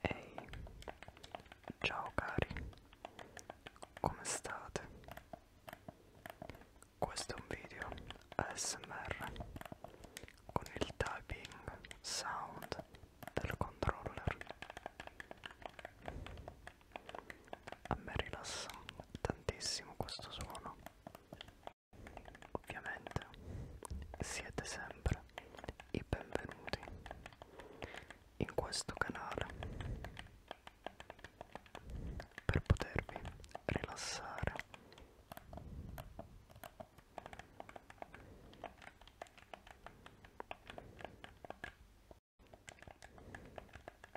Ehi, ciao cari, come state? Questo è un video ASMR con il typing sound del controller. A me rilassa tantissimo questo suono Ovviamente siete sempre i benvenuti in questo canale per potervi rilassare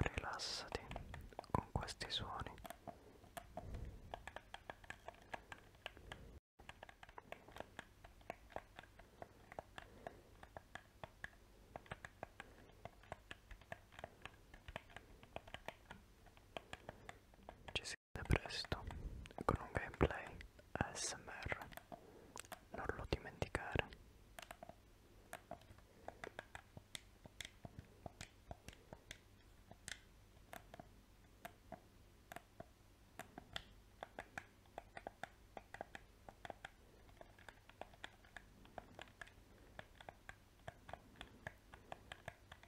Rilassati con questi suoni. Ci sente presto con un gameplay ASMR, non lo dimenticare.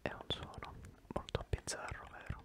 È un suono molto bizzarro, vero?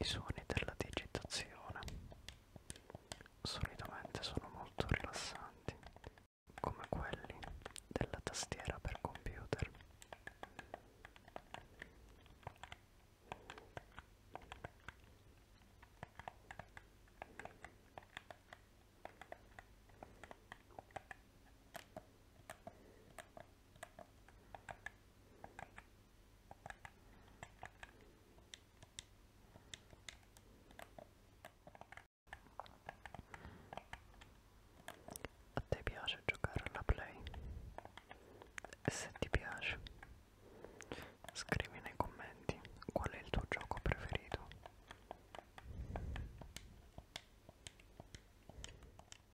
I suoni della digitazione solitamente sono molto rilassanti, come quelli della tastiera per computer. A te piace giocare alla play? E se ti piace, scrivi nei commenti qual è il tuo gioco preferito.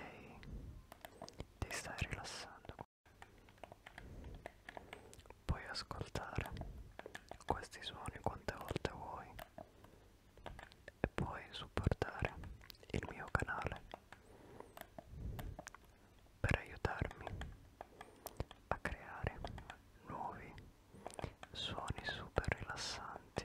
Ehi, ti stai rilassando. Puoi ascoltare questi suoni quante volte vuoi e puoi supportare il mio canale per aiutarmi a creare nuovi suoni super rilassanti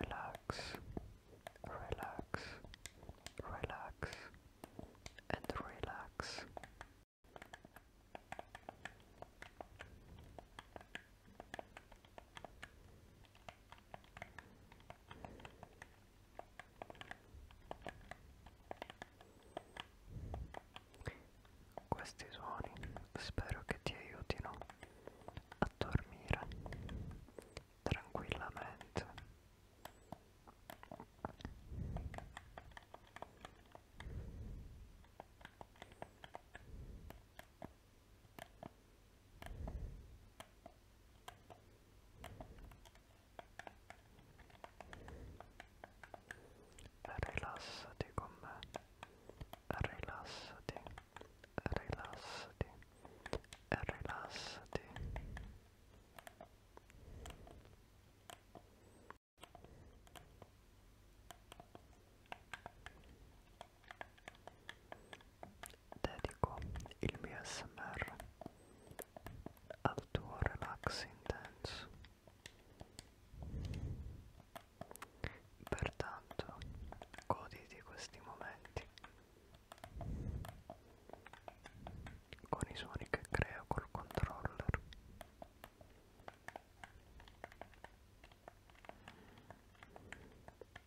Relax, relax, relax, and relax. Questi suoni spero che ti aiutino a dormire tranquillamente. Rilassati con me, rilassati, rilassati, rilassati. dedico il mio smr al tuo relax intenso pertanto goditi questi momenti con i suoni che creo col controller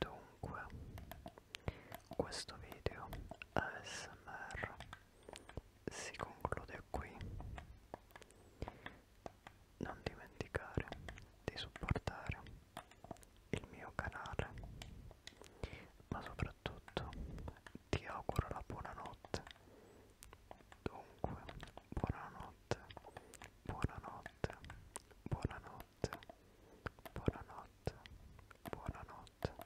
Dunque, questo video ASMR si conclude qui non dimenticare di supportare il mio canale ma soprattutto ti auguro la buonanotte dunque buonanotte buonanotte buonanotte buonanotte buonanotte